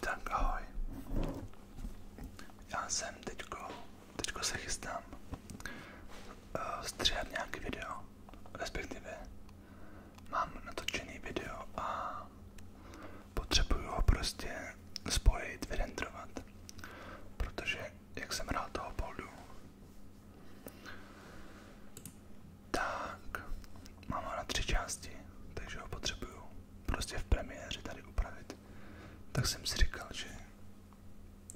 Tak ahoj. Já jsem teďko, teďko se chystám uh, stříhat nějaký video, respektive mám natočený video a potřebuju ho prostě spojit, vyrendrovat, protože jak jsem rád toho poldu, tak, mám ho na tři části, takže ho potřebuju prostě v premiéře tady upravit. Tak jsem si říkal, že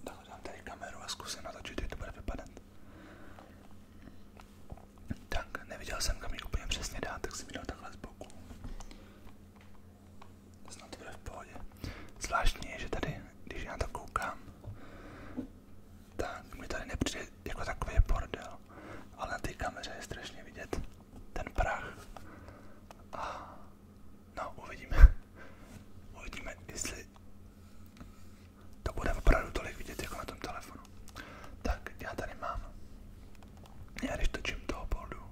takhle dám tady kameru a zkusím natočit, jak to bude vypadat. Tak, neviděl jsem, kam ji úplně přesně dát, tak jsem ji dal takhle z boku. Snad to bude v pohodě. Zvláštní je, že tady, když já to koukám, tak mi tady nepřijde jako takový bordel, ale na té kameře je strašně vidět ten prach. A no, uvidíme. Uvidíme, jestli to bude opravdu tolik vidět jako na tom telefonu. Tak, já tady mám. Já když točím toho boldu,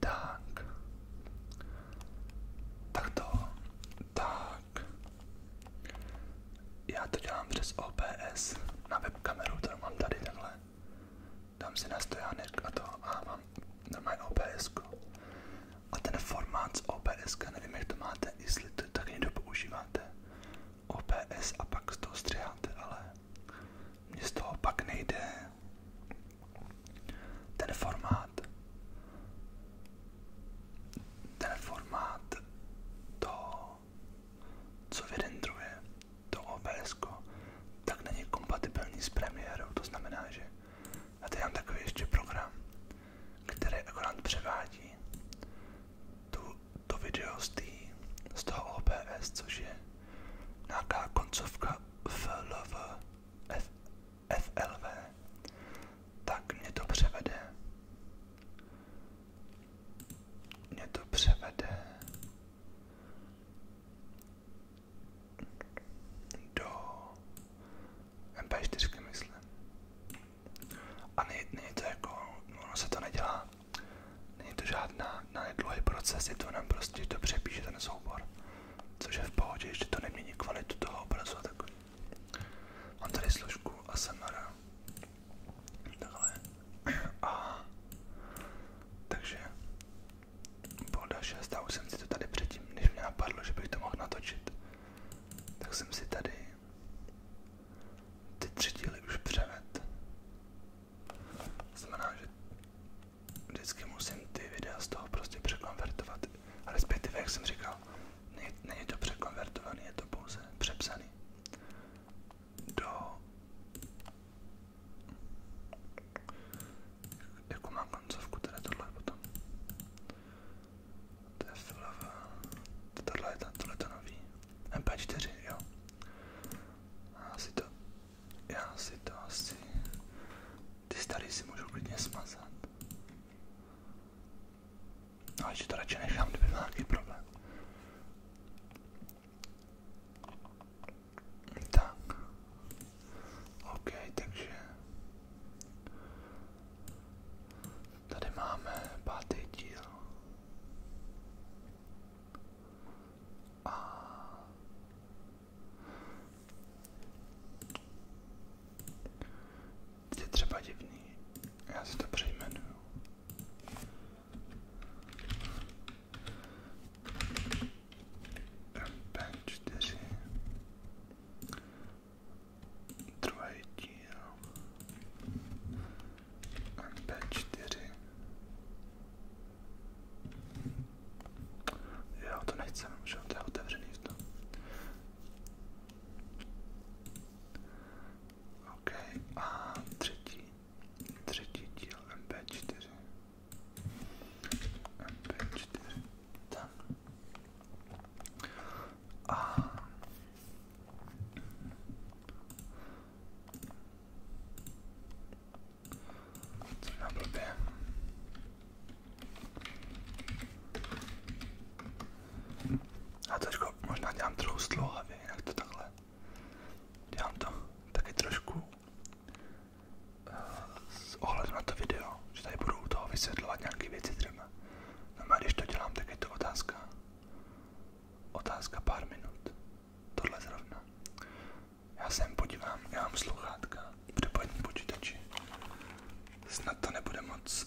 tak, tak to tak. Já to dělám přes OBS na webkameru, kterou mám tady takhle. Dám si na stojánek a to a mám normálně OBS. -ku. A ten formát z OBS, nevím jak to máte, jestli to tak někdo používáte. OBS a pak z toho střiháte, ale mně z toho pak nejde ten formát ten formát, to, co vyrendruje to OBS, tak není kompatibilní s premiérou. To znamená, že a teď mám takový ještě program, který akorát převádí tu, to video z, tý, z toho OBS, což je nějaká koncovka FLV, F, FLV, tak mě to převede. Mě to převede do MP4, myslím. A není, není to jako, no ono se to nedělá, není to žádná na dlouhý proces, je to jenom prostě, že to přepíše ten soubor, což je v pohodě, že to nemění kvalitu toho obrazu a takový. Mám tady složku ASMR. Takhle. A takže Bolda 6 a už jsem si to tady předtím, než mě napadlo, že bych to mohl natočit, tak jsem si tady ty tři díly už převed. Znamená, že vždycky musím ty videa z toho prostě překonvertovat. Respektive, jak jsem říkal, není to překonvertovaný, je to pouze přepsaný do jakou má koncovku teda tohle potom to je filová tohle je, tohle je to nový MP4 jo asi to já si to asi ty starý si můžu klidně smazat ale že to radši nechám, kdyby byl nějaký problém. Tak. OK, takže tady máme pátý díl je třeba divný. Já si to přejmenuju. MP4 druhý díl MP4 Jo, to nechceme, že to je otevřený v tom. OK, a třetí, třetí díl MP4. MP4, tak. A co na blbě? A teďko možná dělám trochu stlouhavě, jinak to takhle. Dělám to taky trošku uh, s ohledem na to video, že tady budu u toho vysvětlovat nějaké věci třeba. No a když to dělám, tak je to otázka. Otázka pár minut. Tohle zrovna. Já sem podívám, já mám sluchátka, připojení počítači. Snad to nebude moc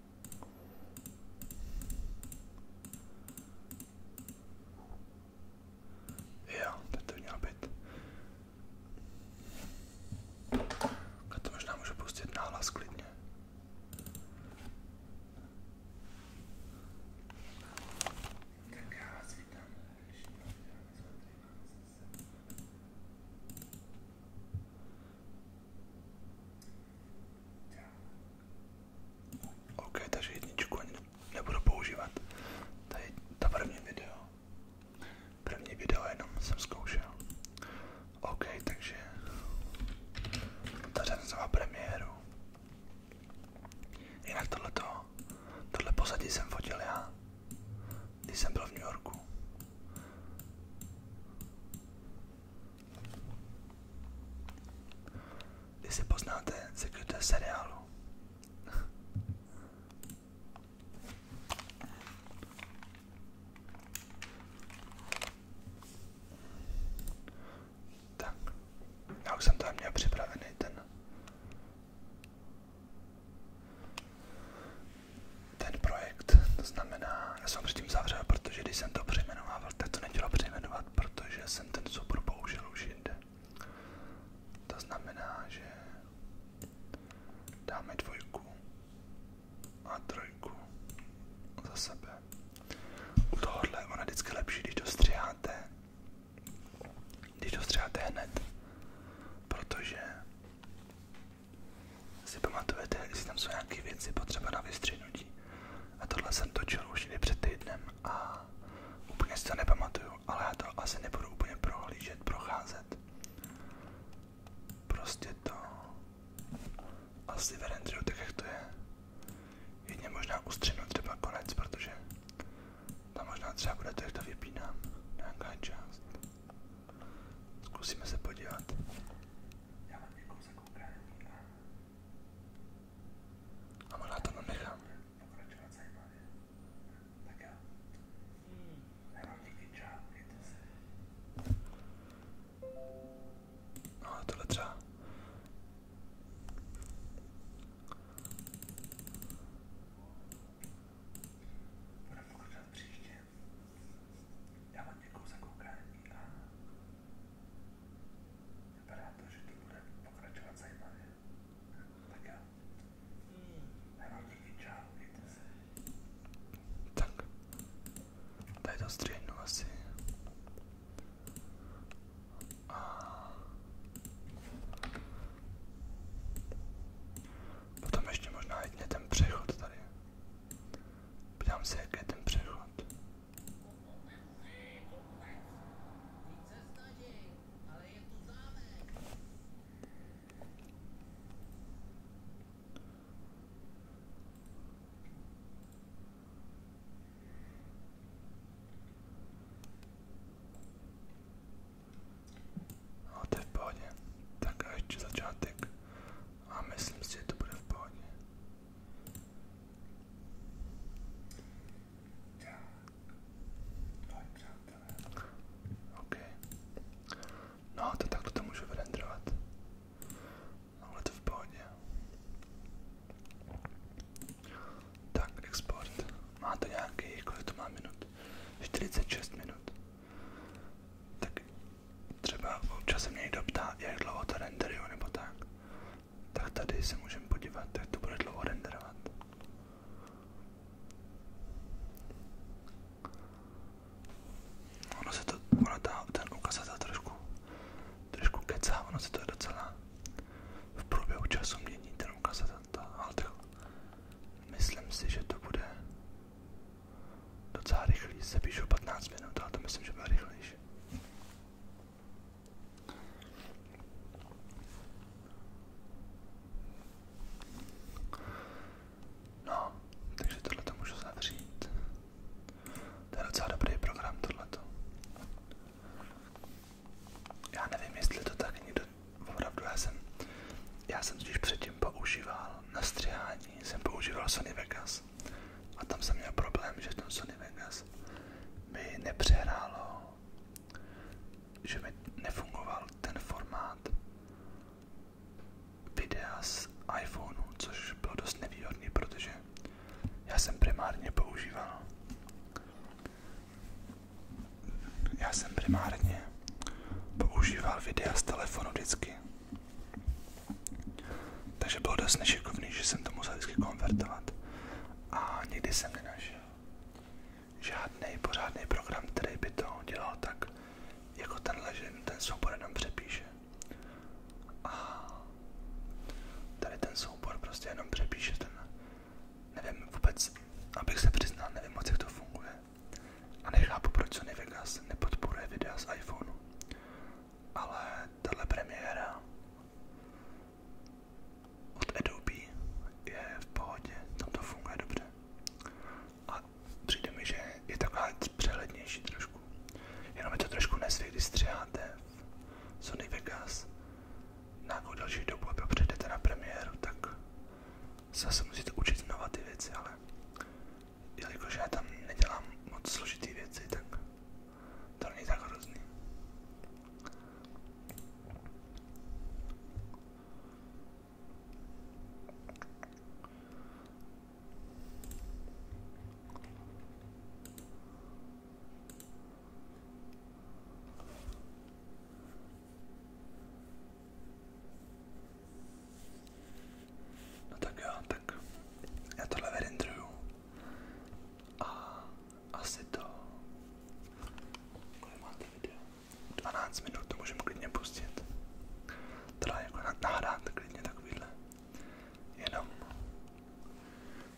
Jo, teď to měl být. A to možná můžu pustit náhlas klidně. Tak já vás vítám. OK, takže jedničku ani nebudu používat. Tady to první video. První video jenom jsem zkoušel. OK, takže tady jsem má premiéru. Jinak tohleto, tohle pozadí jsem fotil já, když jsem byl v New Yorku. Jestli poznáte, se kdo je seriálu. tak, já už jsem tam měl připravený ten ten projekt, to znamená, já jsem předtím zavřel, protože když jsem to přejmenovával, tak to nechtělo přejmenovat, protože jsem ten soubor použil už jinde. To znamená, že dáme dvojku a trojku za sebe. U tohohle ono vždycky lepší, když to stříháte, když to stříháte hned, protože si pamatujete, jestli tam jsou nějaké věci potřeba na vystřihnutí. A tohle jsem točil už někdy před týdnem a úplně si to nepamatuju, ale já to asi nebudu úplně prohlížet, procházet. Prostě to asi ve renderu tak, jak to je. Jedně možná ustřihnu třeba konec, protože tam možná třeba bude to, jak to vypínám, nějaká část. Zkusíme se podívat. Já mám někoho zakoukání a... to nenechám. Pokračovat zajímavě. Hmm. No ale tohle třeba... Já vám děkuji za koukání a vypadá to, že to bude pokračovat zajímavě. Tak jo. Já vám díky, čau, mějte se. Tak. Tady to střihnu asi. A... Potom ještě možná jedně ten přechod tady. Ptám se, jak je ten přechod. A no, to je v pohodě. Tak a ještě začátek. A myslím si, že to bude v pohodě. Tak, přátelé. OK. No, to takto to můžu vyrendrovat. No, ale to v pohodě. Tak, export. Má to nějaký, kolik to má minut? 46 minut. Tak třeba občas se mě někdo ptá, jak dlouho to renderuje nebo tak, tak tady se můžeme podívat, jak to bude dlouho renderovat. Ono se to, ono ta, ten ukazatel trošku, trošku kecá, ono se to je docela v průběhu času mění ten ukazatel, ale tak myslím si, že to bude Docela rychlý, se píšu 15 minut, ale to myslím, že bude rychlejší. No, takže tohle to můžu zavřít. To je docela dobrý program tohleto. Já nevím, jestli to tak někdo opravdu, já jsem, já jsem totiž předtím používal na stříhání jsem používal Sony Vegas a tam jsem měl problém, že ten Sony Vegas mi nepřehrálo, že mi nefungoval ten formát videa z iPhoneu, což bylo dost nevýhodný, protože já jsem primárně používal já jsem primárně používal videa z telefonu vždycky takže bylo dost nešikovný, že jsem to musel vždycky konvertovat. A nikdy jsem nenašel žádný pořádný program, který by to dělal tak, jako tenhle, že ten soubor jenom přepíše. A tady ten soubor prostě jenom přepíše ten, nevím vůbec, abych se přiznal, nevím moc, jak to funguje. A nechápu, proč Sony Vegas nepodporuje videa z iPhoneu. Ale tahle premiéra od Adobe je v pohodě, tam to funguje dobře. A přijde mi, že je taková přehlednější trošku. Jenom je to trošku nezvyk, když střiháte v Sony Vegas nějakou další dobu a pak přijdete na premiéru, tak Zase musíte učit znova ty věci, ale jelikož já tam nedělám moc složitý věci, tak to není tak hrozný. No tak jo, tak já tohle verindruju a asi to, kolik máte video, 12 minut, to můžeme klidně pustit, teda jako nahrát klidně takovýhle, jenom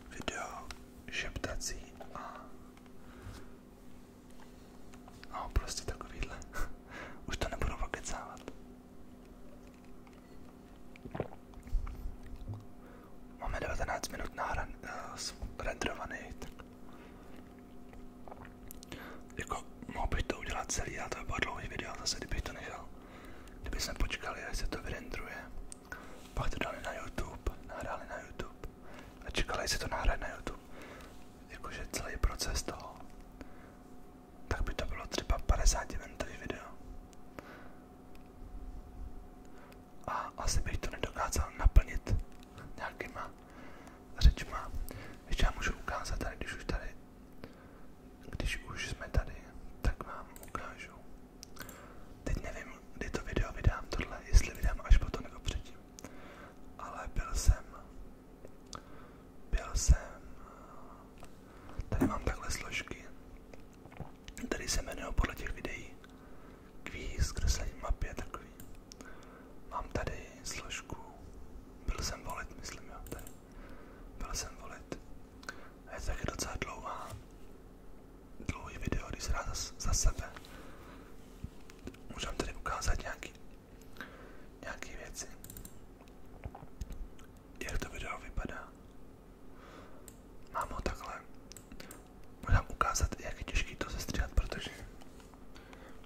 video šeptací a No, prostě takovýhle. Už to nebudu okecávat. Máme 19 minut na ren, uh, eh, renderovaný, tak jako mohl bych to udělat celý, ale to by bylo dlouhý video zase, kdybych to nechal. Kdyby jsme počkali, až se to vyrendruje, pak to dali na YouTube, nahrali na YouTube a čekali, jestli to nahraje na YouTube jakože celý proces toho, tak by to bylo třeba 50 minutový video. A asi bych to nedokázal naplnit nějakýma řečma. Víš, já můžu ukázat tady, když už tady, když už jsme tady, tak vám ukážu. Teď nevím, kdy to video vydám tohle, jestli vydám až potom nebo předtím. Ale byl jsem byl jsem, tady mám takhle složky, tady se jmenují podle těch videí kvíz, kreslení mapy a takový. Mám tady složku, byl jsem volit, myslím jo, tady. Byl jsem volit. A je to taky docela dlouhá, dlouhý video, když se dá za, za sebe. Můžeme tady ukázat nějaký nějaké věci. Jak to video vypadá? Mám ho takhle. Můžu ukázat, jak je to sestříhat, protože,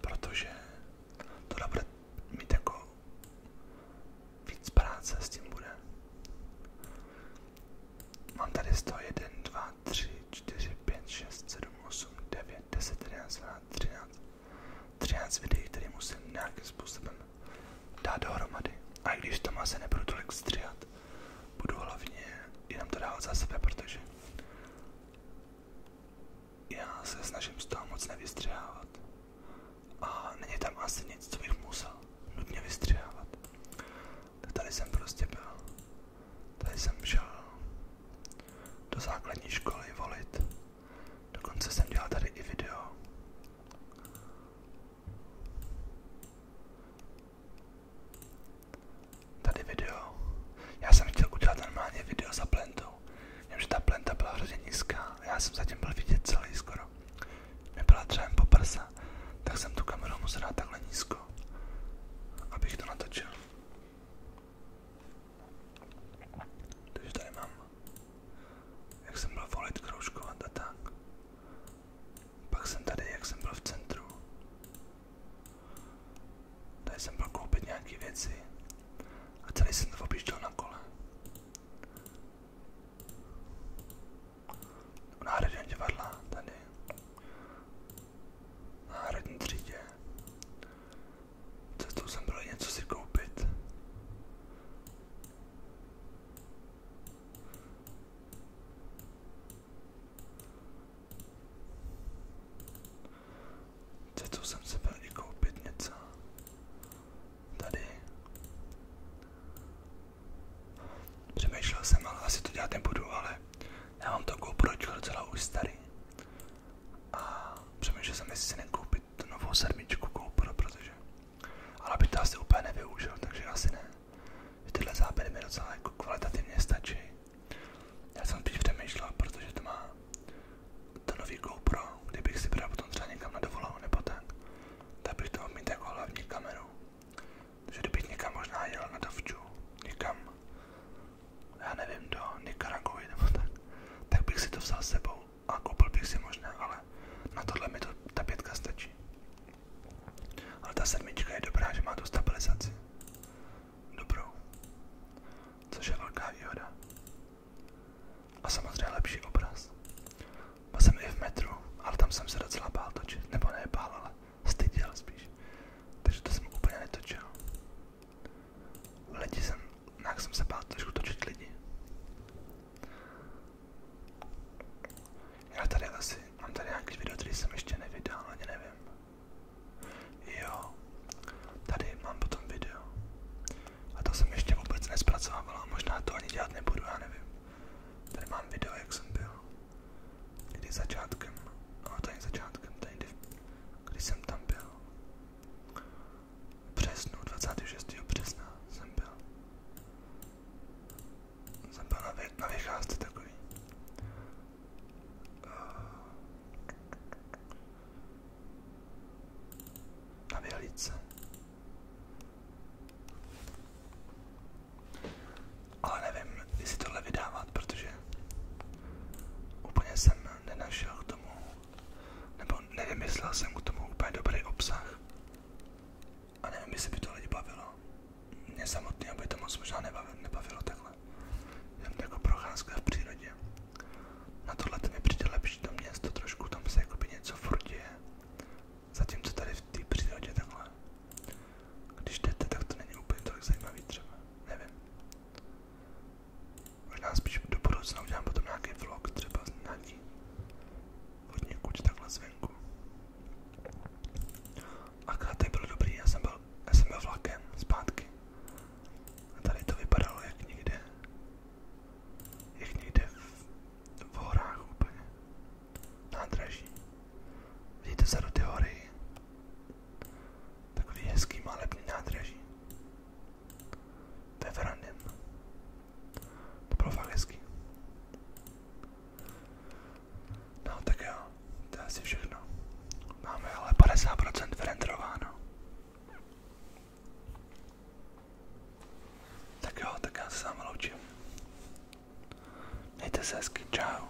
protože to bude mít jako víc práce s tím bude. Mám tady 101, 2, 3, 4, 5, 6, 7, 8, 9, je 10, 11, 12, 13, 13 videí, které musím nějakým způsobem dát dohromady. A i když to má se nebudu tolik stříhat, budu hlavně jenom to dávat za sebe, protože já se snažím z toho moc nevystřihávat. A není tam asi nic, co bych musel nutně vystřihávat. Tak tady jsem prostě byl. Tady jsem šel do základní školy volit. Dokonce jsem dělal tady i video. Tady video. Já jsem chtěl udělat normálně video za plentou. Vím, ta plenta byla hrozně nízká. Já jsem zatím byl vidět celý skoro. Mě byla třeba po prsa, tak jsem tu kameru musel dát takhle nízko, abych to natočil. Takže tady mám, jak jsem byl volit, kroužkovat a tak. Pak jsem tady, jak jsem byl v centru. Tady jsem byl koupit nějaké věci a celý jsem to objížděl na kole. V národním divadla tady. V národní třídě. Cestou jsem byl něco si koupit. Cestou jsem se byl i koupit něco. Tady. Přemýšlel jsem, ale asi to dělat nebudu, ale já mám to GoPročko docela už starý a přemýšlel jsem, jestli si nekoupit tu novou sedmičku GoPro, protože ale by to asi úplně nevyužil, takže asi ne. Tyhle záběry mi docela jako kvalitativně stačí. Já jsem spíš přemýšlel, protože to má to nový GoPro, kdybych si bral potom třeba někam na dovolenou nebo tak, tak bych to mít jako hlavní kameru. Takže kdybych někam možná jel na dovču, někam já nevím, do Nikaraguji nebo tak, tak bych si to vzal s sebou a koupil bych si možná, ale na tohle mi to, ta pětka stačí. Ale ta sedmička je dobrá, že má tu stabilizaci. Dobrou. Což je velká výhoda. A samozřejmě lepší obraz. Byl jsem i v metru, ale tam jsem se docela bál točit. Nebo ne bál, ale styděl spíš. Takže to jsem úplně netočil. Lidi jsem, nějak jsem se bál trošku točit lidi. Já tady asi, mám tady nějaký video, který jsem ještě nevydal, ani nevím. Jo, tady mám potom video. A to jsem ještě vůbec nespracovával a možná to ani dělat nebudu, já nevím. Tady mám video, jak jsem byl. Kdy začátkem, no to není začátkem, to někdy když jsem tam byl. V březnu, 26. jsem byl. Jsem byl na, vě, na vycházce takový. Na vyhlídce. Ale nevím, jestli tohle vydávat, protože úplně jsem nenašel k tomu, nebo nevymyslel jsem k tomu úplně dobrý obsah. A nevím, jestli by to lidi bavilo. Mě samotný, aby to moc možná nebavilo, nebavilo takhle. jako procházka v přírodě. Na tohle mi přijde lepší trošku tam se jakoby něco furt Zatímco tady v té přírodě takhle. Když jdete, tak to není úplně tolik zajímavý třeba. Nevím. Možná spíš do budoucna udělám potom nějaký vlog, třeba z nějaký hodně kuč takhle zvenku. A tady bylo dobrý, já jsem byl, já jsem byl vlakem zpátky. A tady to vypadalo jak někde, jak někde v, v horách úplně. Nádraží. Vidíte vzadu ty hory? Takový hezký malebný nádraží. To je verandem. To bylo fakt hezký. No tak jo, to je asi všechno. Máme ale 50% vyrenderováno. Tak jo, tak já se sám loučím. Mějte se hezky, čau.